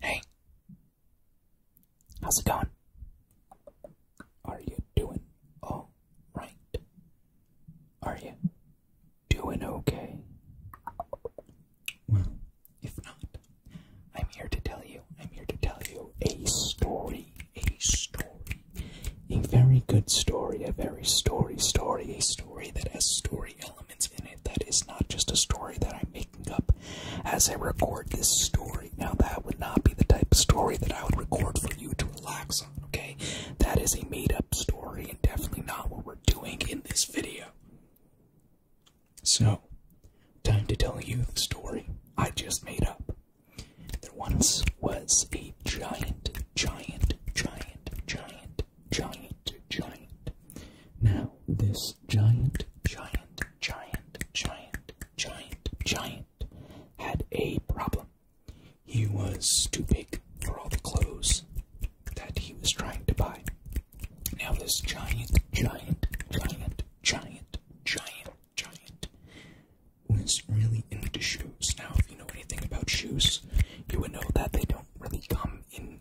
Hey, how's it going? Are you doing all right? Are you doing okay? Well, if not, I'm here to tell you, I'm here to tell you a story, a story, a very good story, a very story, story, a story that has story elements in it that is not just a story that I'm making up as I record this story. Now, that would not be the type of story that I would record for you to relax on, okay? That is a made up story and definitely not what we're doing in this video. So, time to tell you the story I just made up. There once was a giant, giant, giant, giant, giant, giant. Now, this giant, giant, giant, giant, giant, giant had a problem. He was too big for all the clothes that he was trying to buy. Now, this giant, giant, giant, giant, giant, giant was really into shoes. Now, if you know anything about shoes, you would know that they don't really come in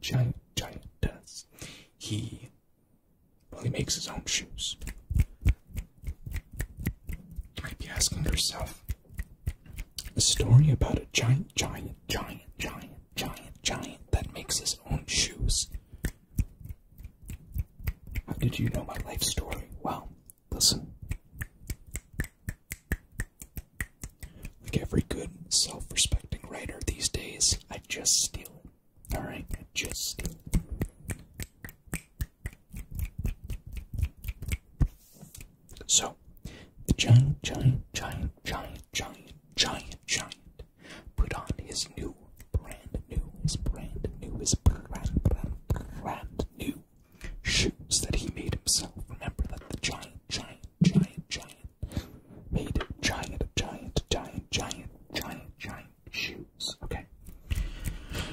giant, giant, does. He, well, he makes his own shoes. You might be asking yourself a story about a giant, giant, giant, giant, giant, giant that makes his own shoes. How did you know my life story? Well, listen. Like every good self respecting writer these days, I just steal it. Alright? I just steal it. So, the giant, giant, giant, giant, giant, giant, giant put on his new, brand new, his brand new, his brand, brand, brand new shoes that he made himself. Remember that the giant, giant, giant, giant, made giant, giant, giant, giant, giant, giant shoes. Okay.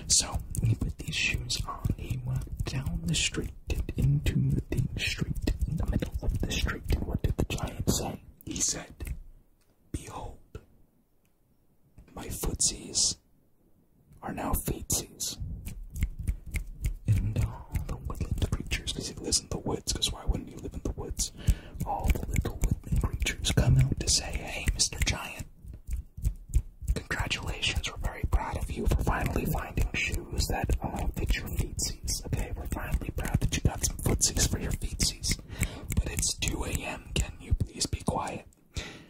So when he put these shoes on, he went down the street into the street in the middle of the street. And what did the giant say? He said, Behold, my footsies are now feeties, And all the woodland creatures, he lives in the woods, why wouldn't you live in the woods? All the little woodland creatures come out to say, hey, Mr. Giant, congratulations, we're very proud of you for finally finding shoes that uh, fit your feetsies. Okay, we're finally proud that you got some footsies for your feetsies. But it's 2 a.m., can you please be quiet?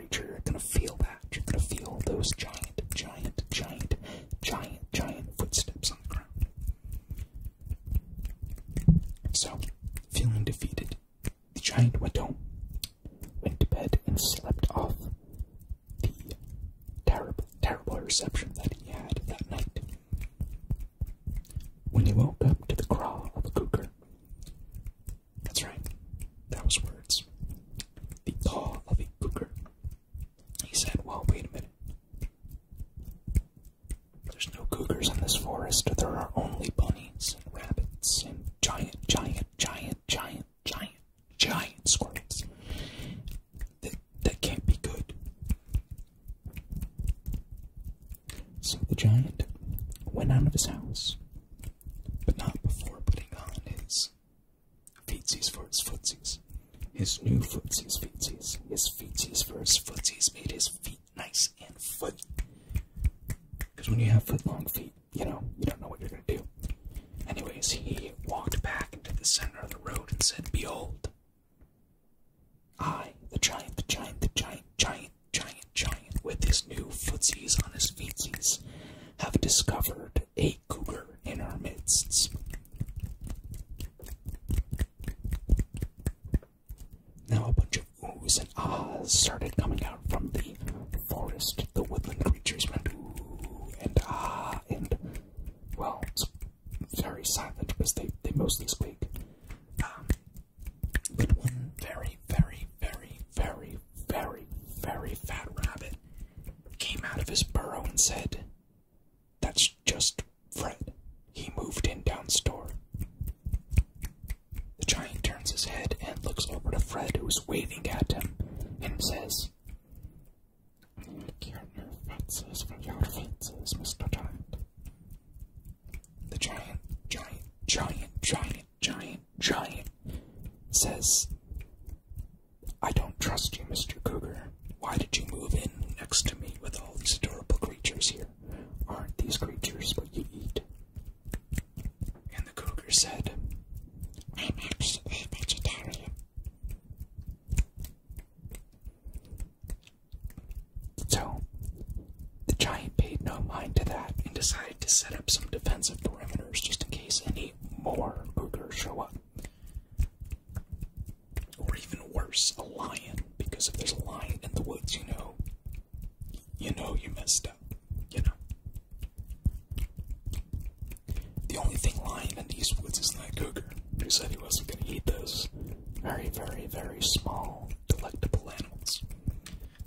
creature, you're gonna feel that. You're gonna feel those giant, giant, giant, giant, giant footsteps on the ground. So, feeling defeated, the giant went home, went to bed, and slept off the terrible, terrible reception that he had that night. When he woke up to the crawl of a cougar, that's right. That was words. The paw of a cougar. He said, Well, wait a minute. There's no cougars in this forest. There are only bunnies and rabbits and giant, giant, giant, giant, giant, giant squirrels. That, that can't be good. So the giant went out of his house, but not before putting on his Feeties for his footies, His new footies, feeties, His feetsies for his footies made his feet nice and foot. Because when you have foot long feet, you know, you don't know what you're going to do. Anyways, he walked back into the center of the road and said, Behold, I, the giant, the giant, the giant, giant, giant, giant, with his new footies on his feetsies, have discovered a cougar in our midst. Now a bunch of oohs and ahs started coming out from the forest. The woodland creatures went ooh and ah and, well, it's very silent because they, they mostly speak, um, but one very, very very, very, very, very, fat rabbit came out of his burrow and said, That's just Fred. He moved in down store. The giant turns his head and looks over to Fred, who is waving at him, and says, Get your fences from your fences, Mr. Giant. The giant, giant, giant, giant, giant giant says, I don't trust you, Mr. Cougar. Why did you move in next to me with all these adorable creatures here? Aren't these creatures what you eat? And the cougar said, I'm actually a vegetarian. So, the giant paid no mind to that and decided to set up some defensive perimeters just in case any more cougars show up. Or even worse, a lion, because if there's a lion in the woods, you know, you know you messed up, you know. The only thing lying in these woods is that cougar, who said he wasn't going to eat those very, very, very small, delectable animals.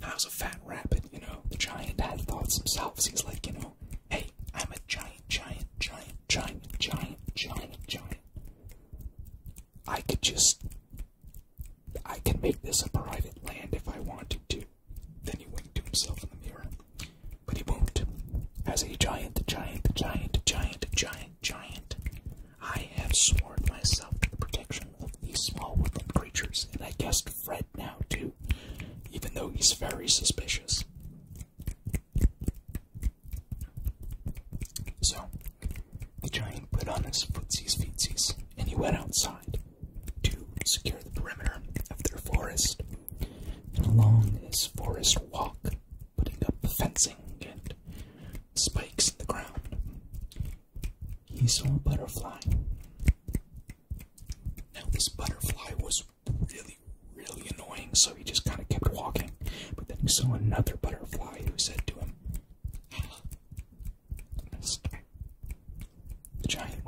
That was a fat rabbit, you know. The giant had thoughts themselves. He's like, you know, hey, I'm a giant, giant, giant, giant, giant, giant, giant. I could just. I can make this a private land if I wanted to. Then he winked to himself in the mirror. But he won't. As a giant, giant, giant, giant, giant, giant, I have sworn myself to the protection of these small woodland creatures, and I guessed Fred now too, even though he's very suspicious. So, the giant put on his footsies feetsies, and he went outside to secure the perimeter of their forest. And along this forest walk, putting up fencing and spikes in the ground, he saw a butterfly. Now, this butterfly was really, really annoying, so he just kind of kept walking. But then he saw another butterfly who said to him, ah, giant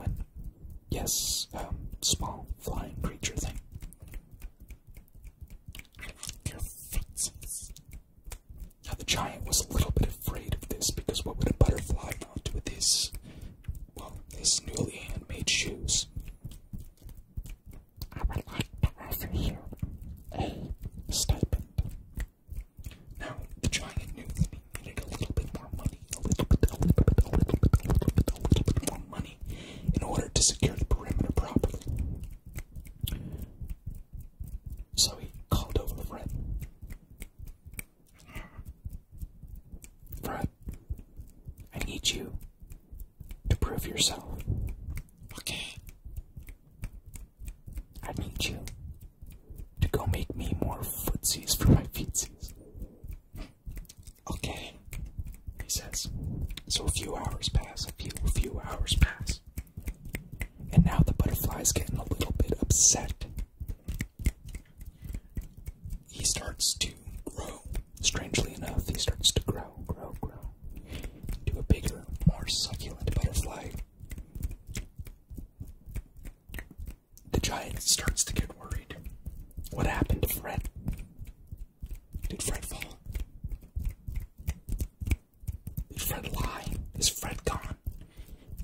Yes, um, small flying creature thing. Now the giant was a little bit afraid of this because what would a butterfly do with his, well, his newly handmade shoes? I would like to offer you a stipend. Now the giant knew he needed a little bit more money, a little bit, a little bit, a little bit, a little bit more money in order to secure the perimeter properly. So he called over to Fred. Fred, I need you to prove yourself. Okay. I need you to go make me more footsies for my feetsies. Okay, he says. So a few hours pass, a few, a few hours pass. And now the butterfly's getting a little bit upset. He starts to grow. Strangely enough, he starts to grow, grow, grow. To a bigger, more succulent butterfly. The giant starts to get worried. What happened to Fred? Did Fred fall? Did Fred lie? Is Fred gone?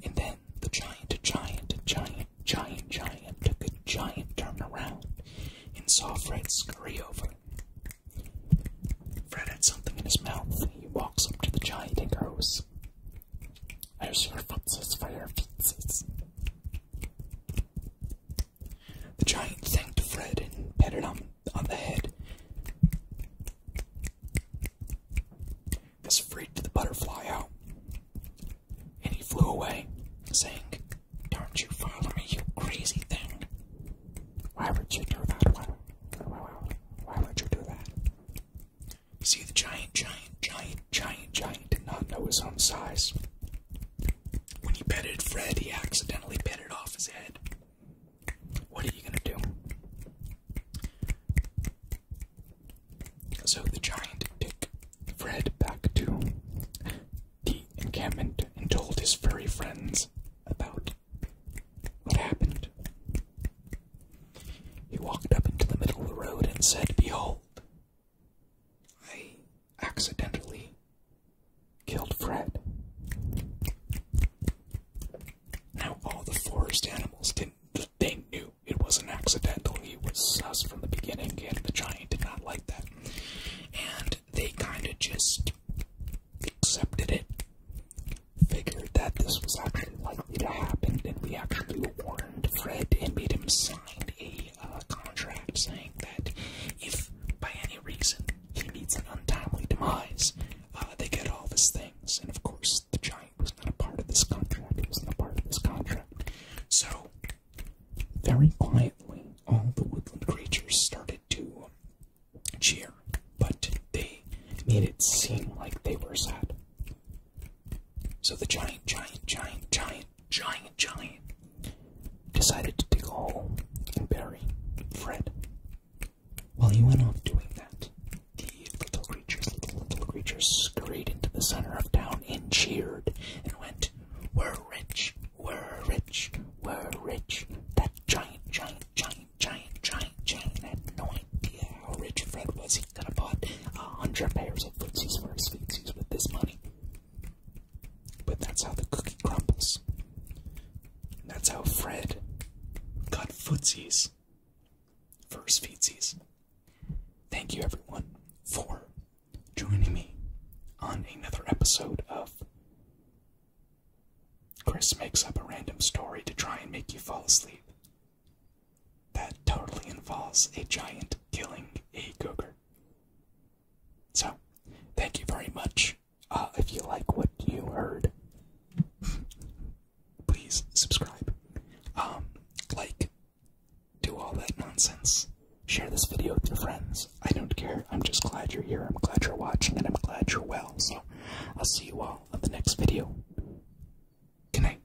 And then the giant, a giant, a giant, giant, giant took a giant turn around and saw Fred scurry over. Fred had something in his mouth. He walks up to the giant and goes, Here's your fences for your fences. The giant thanked Fred and patted him on the head. This freaked the butterfly out, and he flew away, saying, Don't you follow me, you crazy thing! Why would you do that? Why, why, why, would you do that? see, the giant, giant, giant, giant, giant did not know his own size. When he petted Fred, he accidentally petted off his head. What are you gonna do? So the giant took Fred back to the encampment and told his furry friends about what happened. He walked up into the middle of the road and said, Behold, I accidentally killed Fred. Now all the forest animals didn't they knew it was not accidental. He was sus from the beginning and the giant did not like that. And they kinda just accepted it. Figured that this was actually likely to happen, and we actually warned Fred and made him sign a a contract saying that if by any reason he meets an untimely demise, uh, they get all his things. And of course, the giant was not a part of this contract. He was not a part of this contract. So, very quietly, all the woodland creatures started to cheer, but they made it seem like they were sad. So the giant, giant, giant, giant giant giant decided to dig a hole and bury Fred. While he went off doing that, the little creatures, little little creatures, scurried into the center of town and cheered and went, "We're rich, we're rich, we're rich." That giant, giant, giant, giant, giant, giant had no idea how rich Fred was. He could have bought a hundred pairs of footsies for his feetsies with this money. But that's how the cookie crumbles. And that's how Fred got footsies. First feetsies. Thank you everyone for joining me on another episode of Chris makes up a random story to try and make you fall asleep. That totally involves a giant killing a cougar. So, thank you very much. Uh, if you like what you heard, please subscribe, um, like, do all that nonsense. Share this video with your friends. I don't care. I'm just glad you're here. I'm glad you're watching, and I'm glad you're well. So, I'll see you all on the next video. Good night.